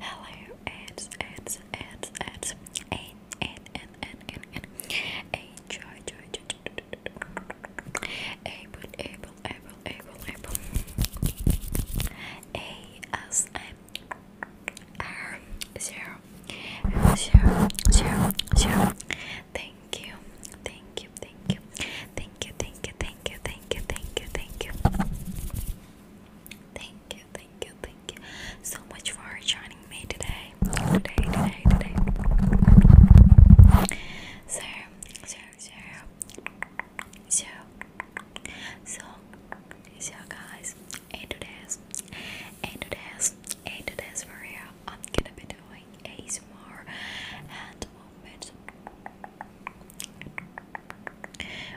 Hello, ads, ads, ads, ads, and and and and and and a joy, joy, joy, joy. Able, able, able, able, able. A as M R zero zero zero zero. Thank you, thank you, thank you, thank you, thank you, thank you thank you, thank you, thank you, thank you. Thank you, thank you, thank you. So much for joining me today. Today, today, today. So, so, so, so, so, so guys, and today's, and today's, and today's video, I'm gonna be doing ASMR and moment.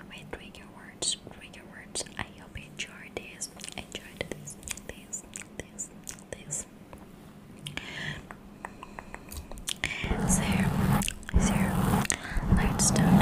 Wait, trigger words, trigger words. I hope you enjoyed this. Enjoyed this, this, this, this. So, so let's start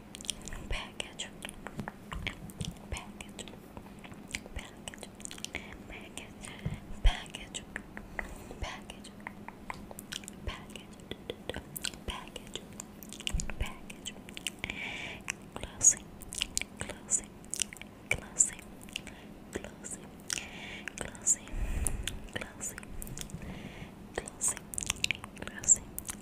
package, package, package, package, package, package, package, package, package, closing, closing, closing, closing, closing, closing, closing, closing,